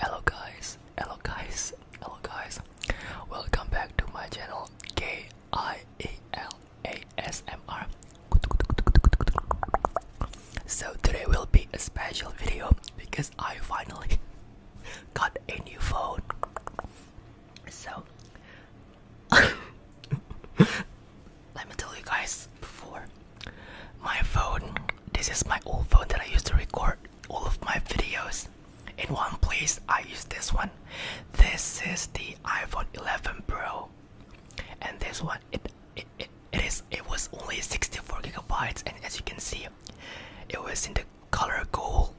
Hello guys, hello guys, hello guys. Welcome back to my channel K I A L A S M R. So today will be a special video because I finally got a new phone. So let me tell you guys before my phone this is my old phone that I used to record all of my videos in one place I use this one this is the iPhone 11 Pro and this one it it, it, it is it was only 64 gigabytes and as you can see it was in the color gold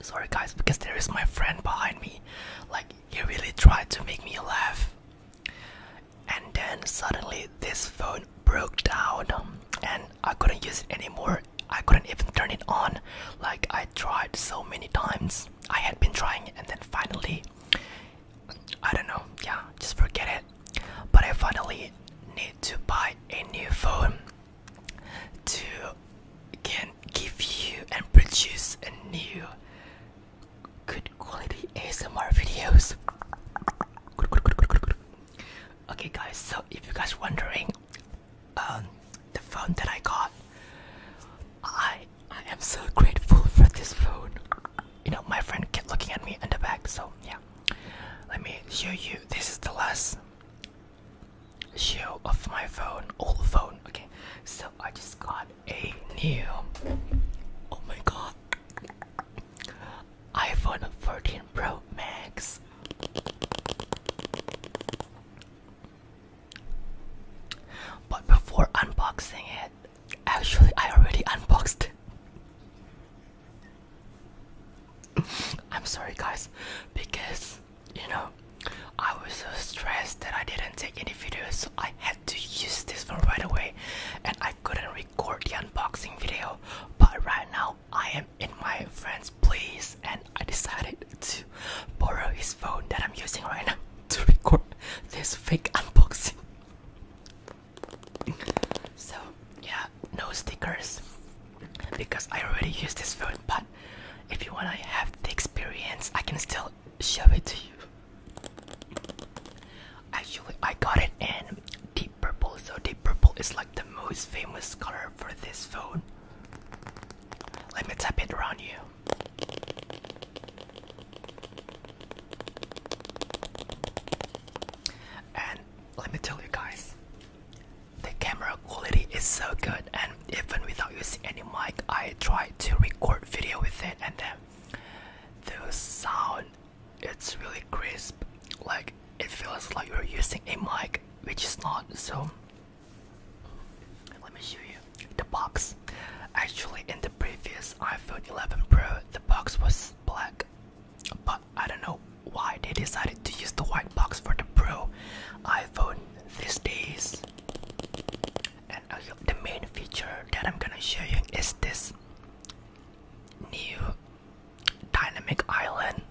Sorry guys, because there is my friend behind me. Like he really tried to make me laugh. And then suddenly this phone broke down and I couldn't use it anymore. I couldn't even turn it on. Like I tried so many times. I had been trying and then finally I don't know, yeah, just forget it. But I finally need to buy a new phone to can give you and produce a new good quality ASMR videos. Okay, guys. So if you guys wondering, um, the phone that I got, I I am so grateful for this phone. You know, my friend kept looking at me in the back. So yeah, let me show you. This is the last show of my phone, old phone. Okay, so I just got a new. Oh my god, iPhone 14 Pro Max. But before unboxing it, actually, I already unboxed I'm sorry, guys, because you know, I was so stressed that I didn't take any videos, so I had to use this phone right away, and I couldn't record the unboxing video. But right now, I am in my friend's place, and I decided to borrow his phone that I'm using right now to record this fake unboxing. so yeah, no stickers because I already use this phone but if you wanna have the experience I can still show it to you actually I got it in deep purple so deep purple is like the most famous color for this phone let me tap it around you and let me tell you guys the camera quality is so good and even without using any mic I try to record video with it and then the sound it's really crisp like it feels like you're using a mic which is not so let me show you the box actually in the previous iPhone 11 Pro the box was black but I don't know why they decided to use the white box for the Pro iPhone these days. And uh, the main feature that I'm gonna show you is this new dynamic island.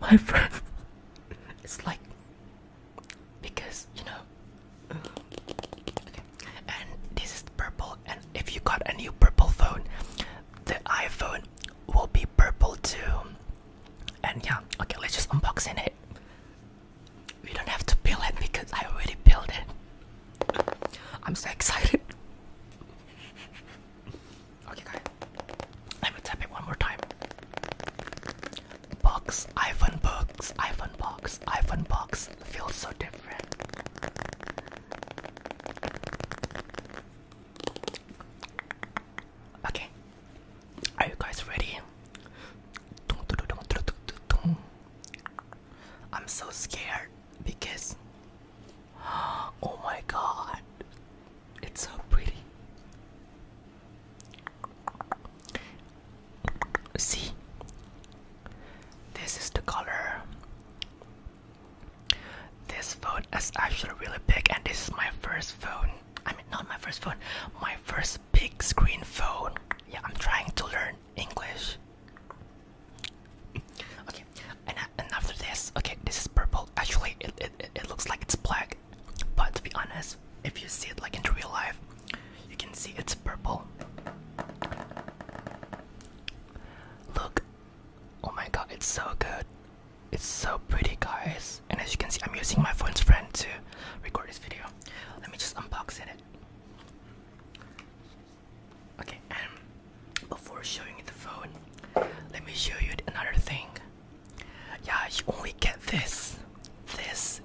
My friend, it's like because you know. And this is purple. And if you got a new purple phone, the iPhone will be purple too and yeah okay let's just unboxing it we don't have to peel it because I already peeled it I'm so excited okay guys let me tap it one more time box iPhone box iPhone box iPhone box feels so different Okay, are you guys ready? I'm so scared because oh my god, it's so pretty. See, this is the color this phone is actually really big, and this is my first phone. I mean, not my first phone, my first big screen phone. Yeah, I'm trying to learn English. okay, and, uh, and after this, okay, this is purple. Actually, it, it, it looks like it's black, but to be honest, if you see it like in real life, you can see it's purple. Look, oh my god, it's so good. It's so pretty, guys. And as you can see, I'm using my phone's friend to record this video. Let me just unbox it. Okay, and before showing you the phone, let me show you another thing. Yeah, you only get this, this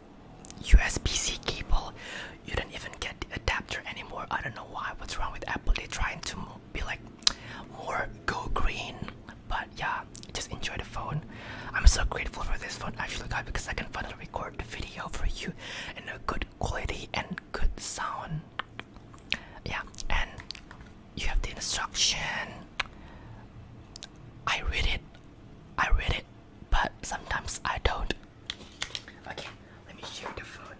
USB-C cable. You don't even get the adapter anymore. I don't know why. What's wrong with Apple? They're trying to be like more go green. But yeah, just enjoy the phone. I'm so grateful for this phone actually, guys, because I can finally record the video for you in a good quality and good sound. Yeah, and you have the instruction. I read it, I read it, but sometimes I don't. Okay, let me share the phone.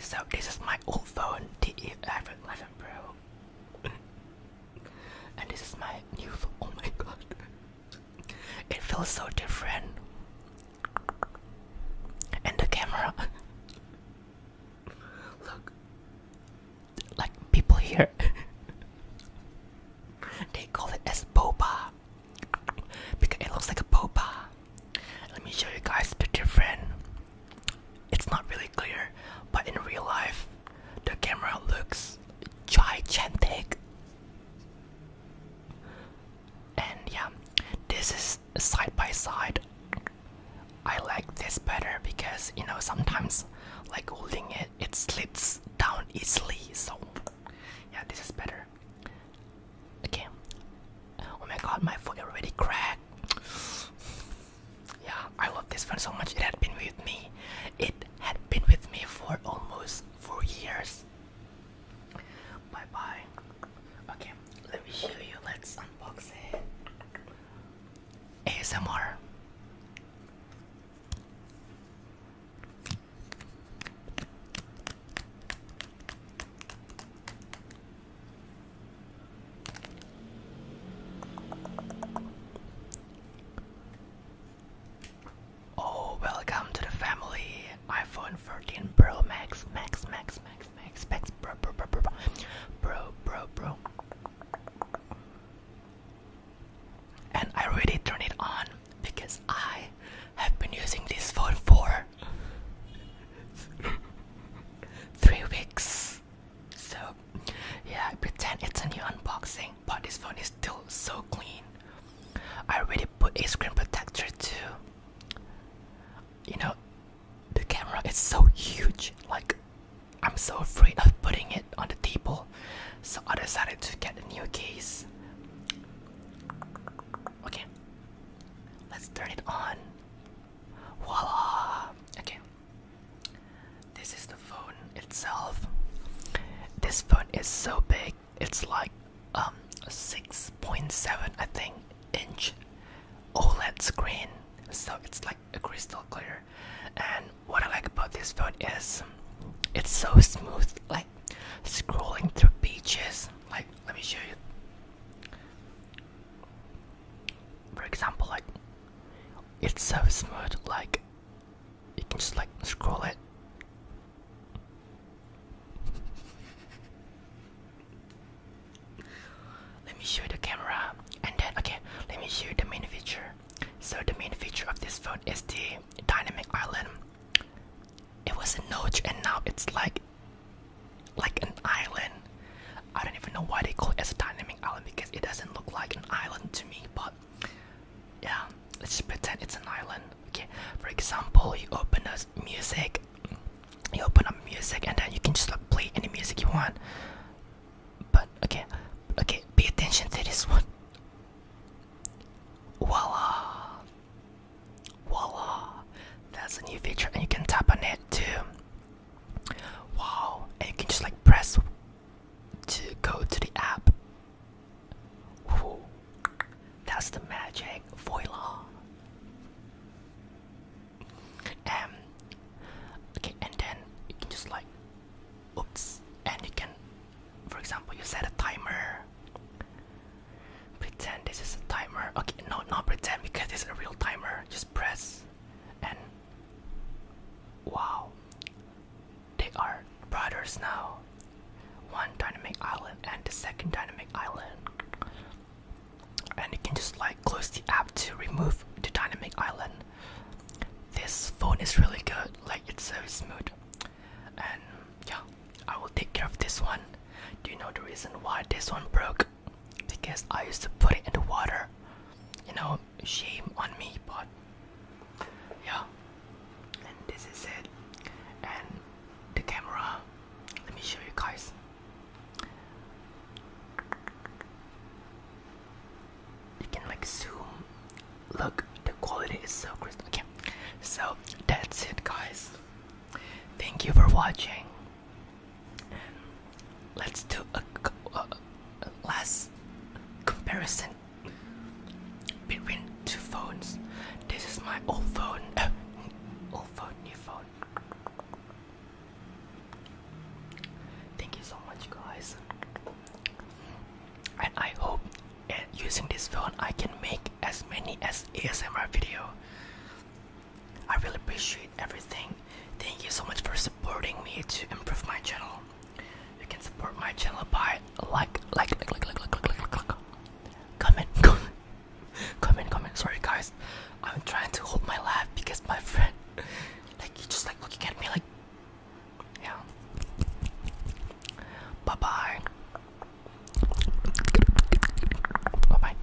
So this is my old phone, the iPhone 11 Pro, and this is my new phone. Oh my god, it feels so different. And the camera, look, like people here, they call it as boba because it looks like a boba. Let me show you guys the different it's not really clear, but in real life, the camera looks gigantic. And yeah, this is side by side. I like this better because you know sometimes like holding it it slips down easily so yeah this is better okay oh my god my foot already cracked yeah i love this phone so much it had been with me it had been with me for almost four years bye bye okay let me show you let's unbox it asmr Oh, welcome to the family. iPhone 13 Pro Max, Max, Max, Max, Max, Max, Pro, Pro, Pro, Pro, Pro, Pro, Pro. And I really turn it on because I have been using this phone for three weeks. So yeah, I pretend it's a new unboxing, but this phone is still so clean. I already put a screen protector too. You know, the camera is so huge, like I'm so afraid of putting it on the table, so I decided to get a new case. Okay, let's turn it on. Voila! Okay, this is the phone itself. This phone is so big. It's like um 6.7 I think inch OLED screen. So it's like a crystal clear. And what I like about this phone is it's so smooth like scrolling through pages. Like let me show you for example like it's so smooth like you can just like scroll it let me show the camera and then okay let me show you the main feature so the main feature of this phone is the dynamic island it was a notch and now it's like like an island. I don't even know why they call it as a dynamic island because it doesn't look like an island to me, but yeah, let's just pretend it's an island. Okay, for example, you open up music, you open up music, and then you can just like play any music you want. But okay, okay, pay attention to this one. Voila, voila, that's a new feature, and you can tap on it to Wow, and you can just like press to go to the app. that's the magic voila. Um, okay, and then you can just like, oops, and you can, for example, you set a timer. Pretend this is a timer. Okay, no, not pretend because this is a real timer. Just press, and Wow. They are brothers now. One dynamic island and the second dynamic island. And you can just like close the app to remove the dynamic island. This phone is really good, like it's so smooth. And yeah, I will take care of this one. Do you know the reason why this one broke? because I used to put it in the water. You know, shame on me, but yeah. And this is it. And the camera. Let me show you guys. You can like zoom. Look, the quality is so crisp. Okay, so that's it, guys. Thank you for watching let's do a, last comparison between two phones. This is my old phone, old phone, new phone. Thank you so much, guys, and I hope uh, using this phone I can make as many as ASMR video. I really appreciate everything. Thank you so much for supporting me to improve my channel. You can support my channel by like, like, like, like, like, like, like, like, like. comment, comment, comment, comment. Sorry guys, I'm trying to hold my laugh because my friend, like, he just like looking at me like, yeah. Bye bye. Bye bye.